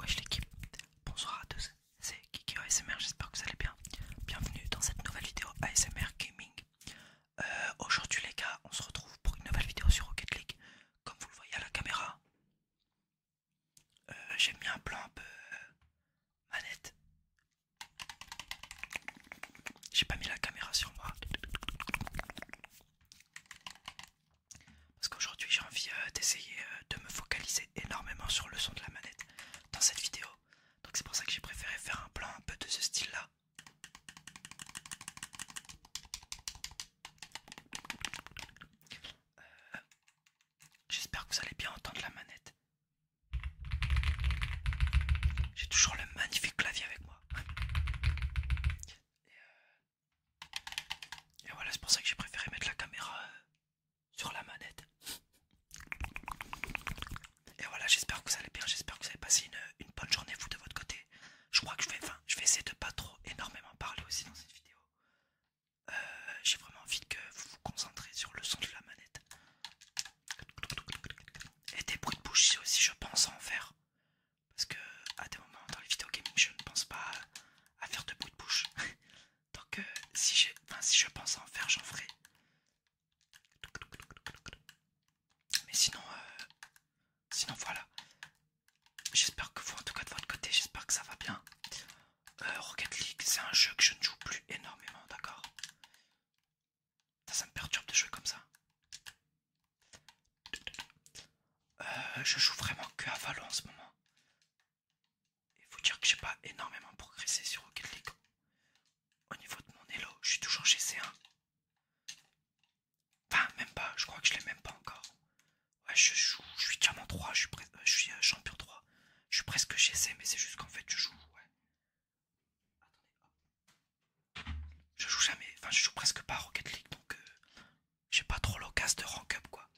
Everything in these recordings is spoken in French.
Wesh l'équipe, bonsoir à tous, c'est Kiki ASMR, j'espère que vous allez bien. Bienvenue dans cette nouvelle vidéo ASMR Gaming. Euh, aujourd'hui les gars, on se retrouve pour une nouvelle vidéo sur Rocket League. Comme vous le voyez à la caméra, euh, j'ai mis un plan un peu euh, manette. J'ai pas mis la caméra sur moi. Parce qu'aujourd'hui j'ai envie euh, d'essayer de me focaliser énormément sur le son de la manette dans cette vidéo. Donc c'est pour ça que j'ai préféré faire un plan un peu de ce style là. J'espère que vous allez bien entendre la manette. J'ai toujours le magnifique clavier avec moi. Et, euh, voilà, c'est pour ça que j'ai préféré mettre la caméra euh, sur la manette. Et voilà, j'espère que vous allez bien, j'espère que vous avez passé une, bonne journée vous de votre côté. Je crois que je vais, je essayer de pas trop énormément parler aussi dans cette vidéo. Euh, j'ai vraiment envie que vous vous concentrez sur le son de la manette. Et des bruits de bouche aussi, je pense en faire. Parce que à des moments dans les vidéos gaming, je ne pense pas à faire de bruit de bouche. Donc euh, si, enfin, si je pense en faire, j'en ferai. Mais sinon, euh, sinon voilà. J'espère que vous, en tout cas de votre côté, j'espère que ça va bien. Euh, Rocket League, c'est un jeu que je ne joue plus énormément, d'accord ça, me perturbe de jouer comme ça. Euh, je joue vraiment que à Valon en ce moment. Il faut dire que j'ai pas énormément progressé sur Rocket League. Au niveau de mon elo, je suis toujours chez C1. Enfin, même pas, je crois que je l'ai même pas encore. Ouais, je joue, je suis diamant 3, je suis, euh, euh, champion 3. Je suis presque GC, mais c'est juste qu'en fait, je joue. je joue jamais, enfin, je joue presque pas à Rocket League donc euh, j'ai pas trop l'occasion de rank up quoi.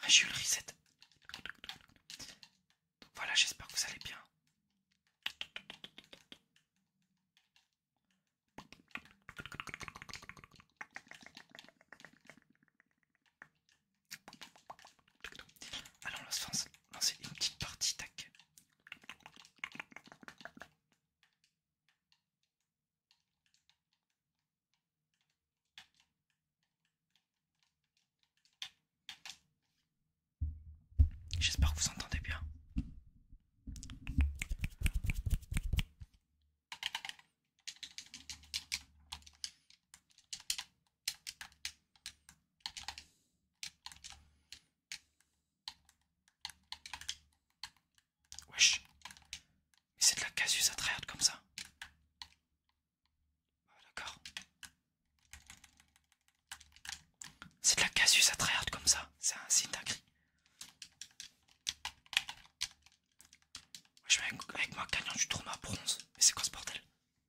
Ah, j'ai le reset. voilà, j'espère que vous allez bien. Allons, on va se c'est une petite partie, tac. J'espère que vous entendez bien. Wesh. Mais c'est de la casus à tryhard comme ça. Ah, d'accord. C'est de la casus à tryhard comme ça. C'est un signe Je vais avec, avec moi gagnant du tournoi bronze. Mais c'est quoi ce bordel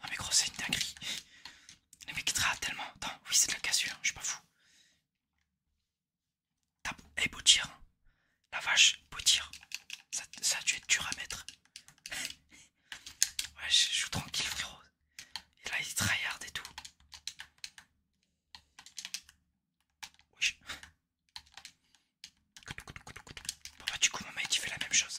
Non mais grosse c'est une dinguerie. les mec tellement. oui c'est de la cassure, je suis pas fou. Hey, beau eh, tir. Hein. La vache, beau tir. Ça, tu a être dur à mettre. ouais, je joue tranquille, frérot. Et là, il tryhard et tout. bah, du coup, mon mec, fait la même chose.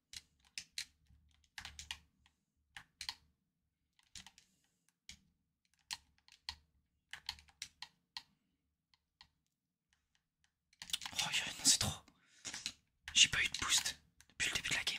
Oh non c'est trop. J'ai pas eu de boost depuis le début de la game.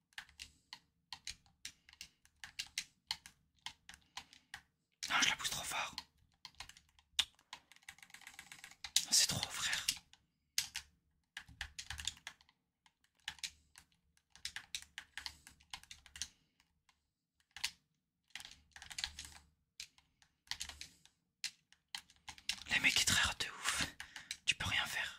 Non, je la pousse trop fort. c'est trop, frère. Les mecs qui traînent de ouf. Tu peux rien faire.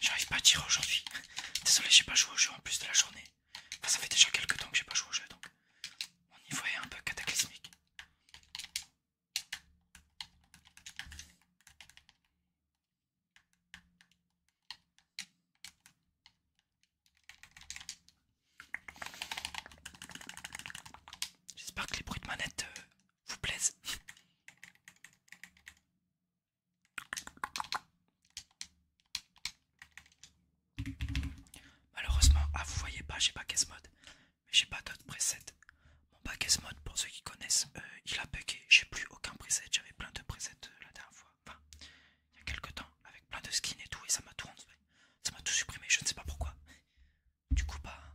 J'arrive pas à tirer aujourd'hui. Désolé, j'ai pas joué au jeu en plus de la journée. Enfin, ça fait déjà quelques temps que j'ai pas joué au jeu donc mon niveau est un peu cataclysmique. J'espère que les bruits de manette euh, vous plaisent. Malheureusement, ah vous voyez pas, j'ai pas ce mode, mais j'ai pas d'autres presets. Mon ce mode, pour ceux qui connaissent, euh, il a bugué, j'ai plus aucun preset, j'avais plein de presets euh, la dernière fois, enfin, il y a quelques temps, avec plein de skins et tout, et ça m'a tout ça m'a tout supprimé, je ne sais pas pourquoi. Du coup, pas. Bah,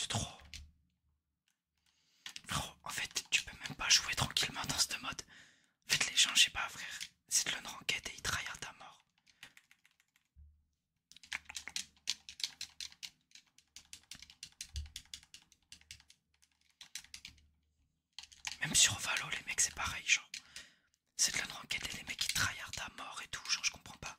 C'est trop. en fait, tu peux même pas jouer tranquillement dans ce mode. faites les gens, pas, frère, c'est de l'honneur et ils trahirent ta mort. Même sur Valo, les mecs, c'est pareil, genre. C'est de la enquête et les mecs ils trahirent à mort et tout, genre, je comprends pas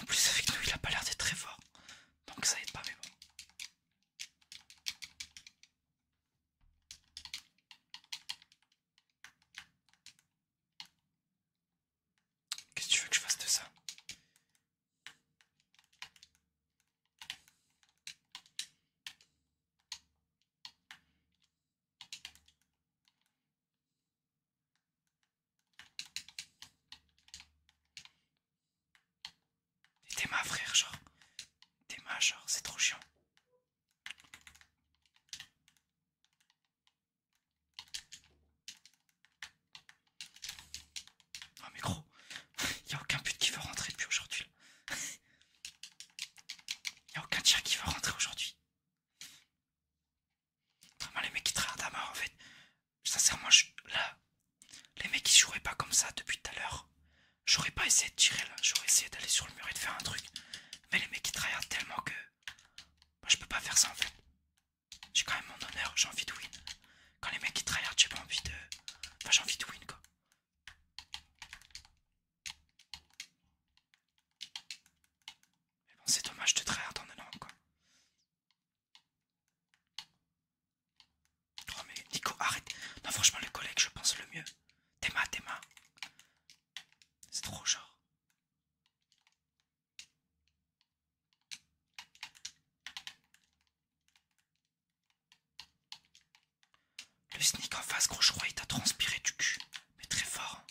en plus avec nous il a pas l'air d'être très fort. Donc ça aide pas mais bon. Qu'est-ce que tu veux que je fasse de ça T'es ma frère, genre. T'es ma genre, c'est trop chiant. Oh mais gros, Y'a a aucun but qui veut rentrer depuis aujourd'hui. Y a aucun tir qui va rentrer aujourd'hui. les mecs qui tryhardent à mort en fait. Sincèrement, là, les mecs qui joueraient pas comme ça depuis tout à l'heure, j'aurais pas essayé de tirer là. J'aurais essayé d'aller sur le mur et de faire un truc. Mais les mecs qui tryhardent tellement que. Moi, je peux pas faire ça en fait. J'ai quand même mon honneur, j'ai envie de win. Quand les mecs qui tryhardent j'ai pas envie de. Enfin, j'ai envie de win quoi c'est dommage de trahir le nom, quoi. Oh, mais Nico, arrête. Non, franchement, les collègues, je pense le mieux. Tes Téma. C'est trop genre. Le sneak en face, gros, je il t'a transpiré du cul. Mais très fort. Hein.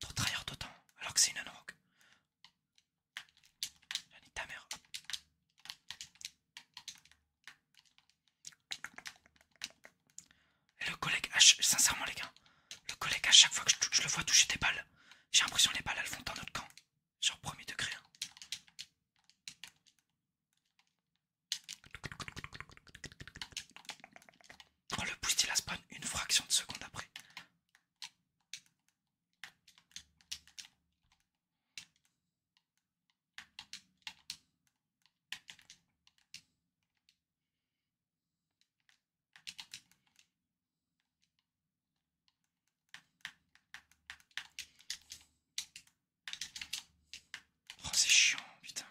Trop trahir d'autant. Alors que c'est une anorak. ta mère. Et le collègue, sincèrement les gars, le collègue à chaque fois que je, le vois toucher des balles, j'ai l'impression les balles elles vont dans notre camp. Genre promis de créer hein. Oh, le boost il a spawn une fraction de seconde après. Oh, c'est chiant, putain.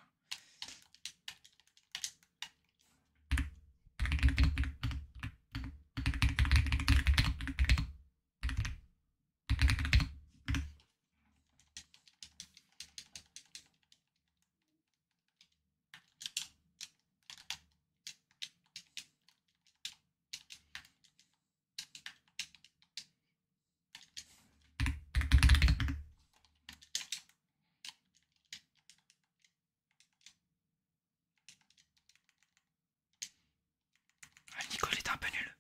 Ah, Nicole est un peu nul.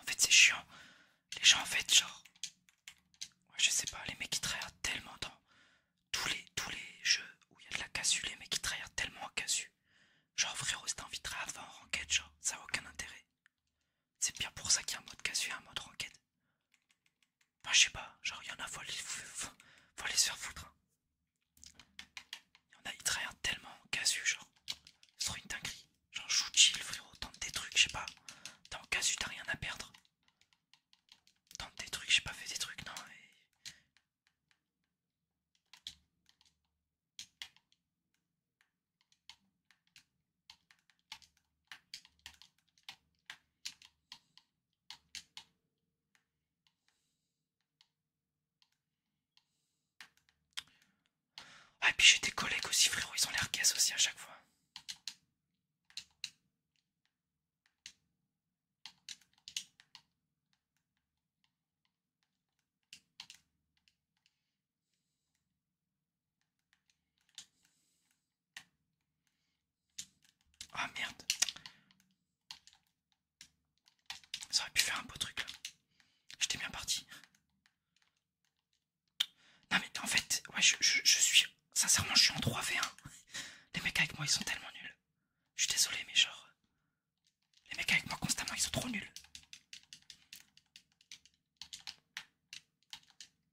En fait, c'est chiant. Les gens, en fait, genre. je sais pas, les mecs qui trahirent tellement dans tous les, tous les jeux où il y a de la casu, les mecs qui trahirent tellement en casu. Genre, frérot, si t'as envie de en enquête, genre, ça a aucun intérêt. C'est bien pour ça qu'il y a un mode casu et un mode enquête. Bah, je sais pas, genre il y en a, faut les, faut, les faire foutre. Hein. Il y en a, ils travaillent tellement casu, genre. C'est trop une dinguerie. Genre, shoot chill, frérot, tente des trucs, je sais pas. T'es en casu, t'as rien à perdre. Tente des trucs, j'ai pas fait des trucs, non. Ah, et puis j'ai des collègues aussi, frérot, ils ont l'air caisses aussi à chaque fois oh merde. Ça aurait pu faire un beau truc là. J'étais bien parti. Non mais en fait, ouais, je, suis... Sincèrement, je suis en 3v1. Les mecs avec moi, ils sont tellement nuls. Je suis désolé, mais genre... Les mecs avec moi, constamment, ils sont trop nuls.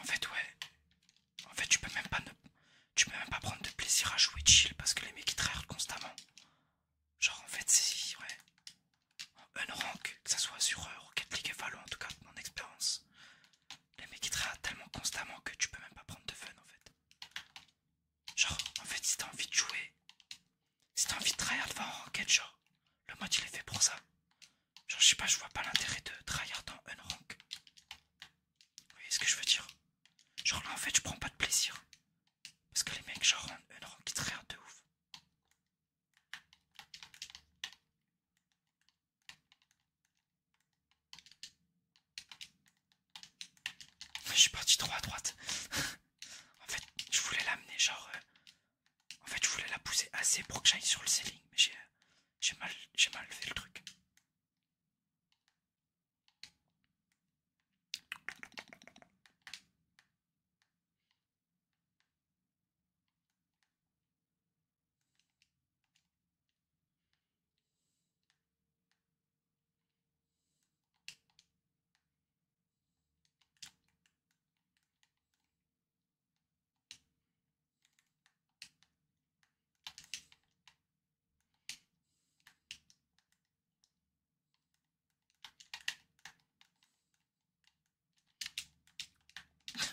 En fait, ouais. En fait, tu peux même pas ne... tu peux même pas prendre de plaisir à jouer chill parce que les mecs qui constamment. Genre, en fait, c'est. Ouais. Un rank, que ça soit sur euh, Rocket League et en tout cas, mon expérience. Les mecs ils tellement constamment que tu peux même pas prendre de fun en fait. Genre, en fait, si t'as envie de jouer, si t'as envie de tryhard un Rocket, genre, le mode il est fait pour ça. Genre, je sais pas, je vois pas l'intérêt de tryhard dans Unrank. Vous voyez ce que je veux dire Genre, là en fait, je prends pas de plaisir. Parce que les mecs, genre, en rank ils tryhardent de ouf. Je suis parti trop à droite. en fait, je voulais l'amener genre... Euh, en fait, je voulais la pousser assez pour que j'aille sur le ceiling, mais j'ai euh, j'ai mal, mal fait le truc.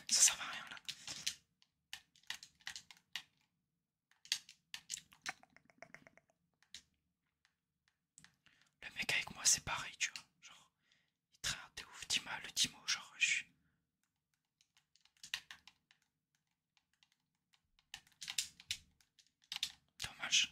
Ça sert à rien là. Le mec avec moi c'est pareil, tu vois. Genre, il traîne de ouf, mal, le Timo, genre je suis. Dommage.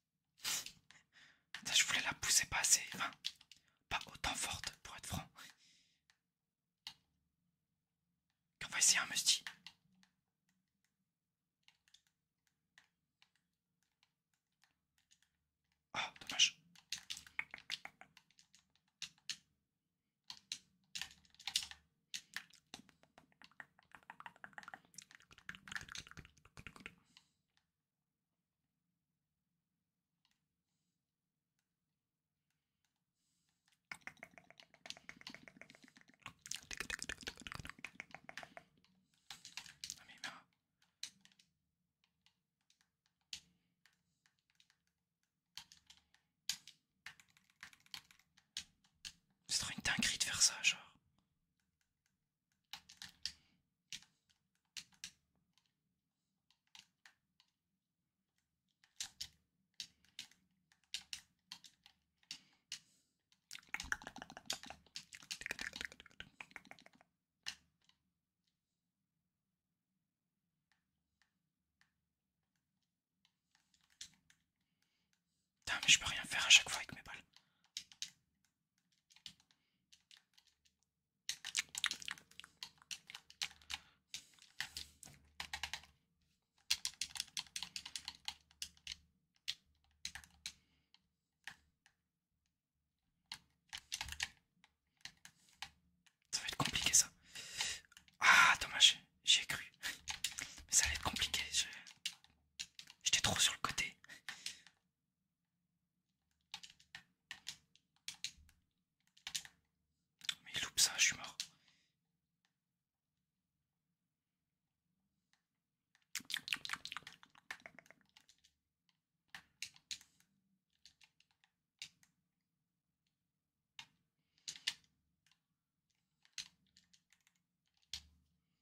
je voulais la pousser pas assez, enfin, pas autant forte pour être franc. Quand va essayer un mesti Oh, ah, dommage. C'est trop une dinguerie de faire ça, genre mais je peux rien faire à chaque fois avec mes balles. Ça va être compliqué ça. Ah dommage, j'ai cru. Mais ça va être compliqué. J'étais trop sur le côté. Mais il loupe ça, je suis mort.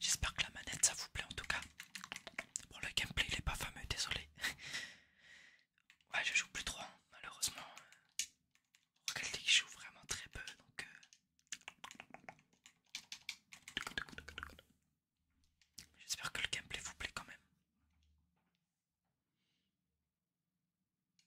J'espère que la manette ça vous plaît en tout cas. Bon le gameplay il est pas fameux, désolé. ouais je joue plus trop hein, malheureusement. réalité je joue vraiment très peu donc... Euh. J'espère que le gameplay vous plaît quand même.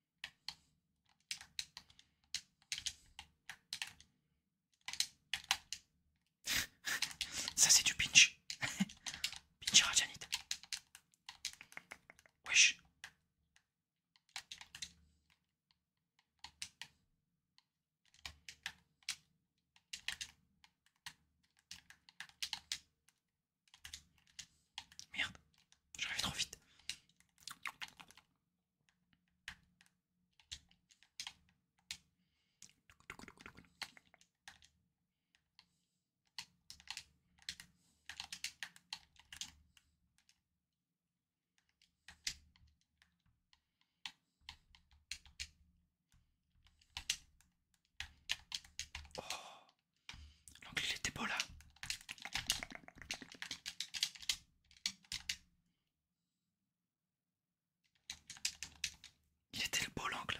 Ça c'est du pinch. pinch radianite. Wesh. Merde, j'arrive trop vite. Oh, l'anglais était beau là. Il était le beau l'angle.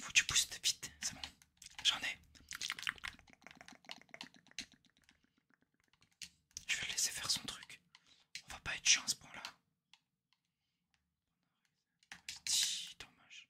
Faut que tu pousses vite, c'est bon, j'en ai. Je vais le laisser faire son truc. On va pas être chance pour là dommage.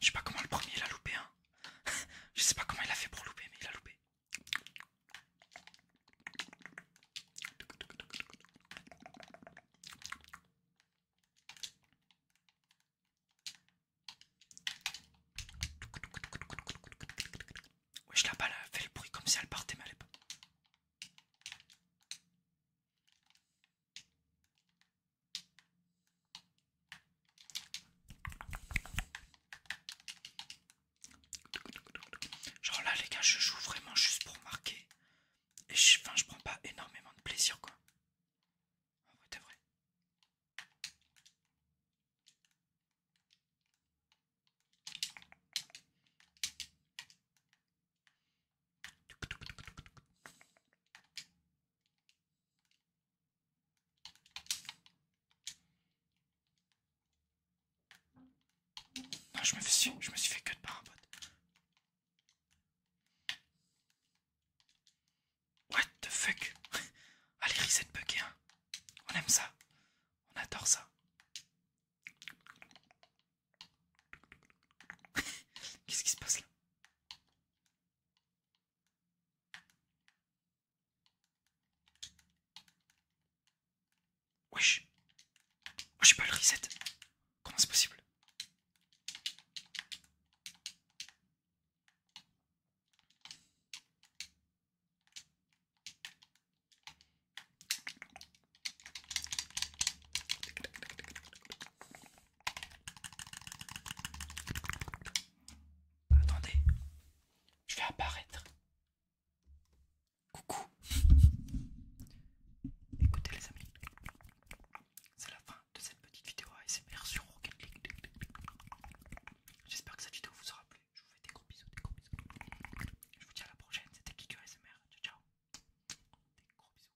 Je sais pas comment le premier il a loupé hein. Je sais pas comment il a fait pour louper mais il a loupé. Ouais, je la balle a fait le bruit comme si elle partait mais elle pas. Genre là les gars je joue vraiment juste pour marquer et je, je prends pas énormément de plaisir quoi. Ah vrai je me suis, je me suis fait cut par un bot. What the fuck Allez, reset bug, Hein. On aime ça. On adore ça. Qu'est-ce qui se passe là Wesh. je j'ai pas le reset. Comment c'est possible Attendez, je vais apparaître. Coucou. Écoutez les amis, c'est la fin de cette petite vidéo ASMR sur Rocket League. J'espère que cette vidéo vous aura plu. Je vous fais des gros bisous, des gros bisous. Je vous dis à la prochaine. C'était Kiku ASMR. Ciao ciao. Des gros bisous.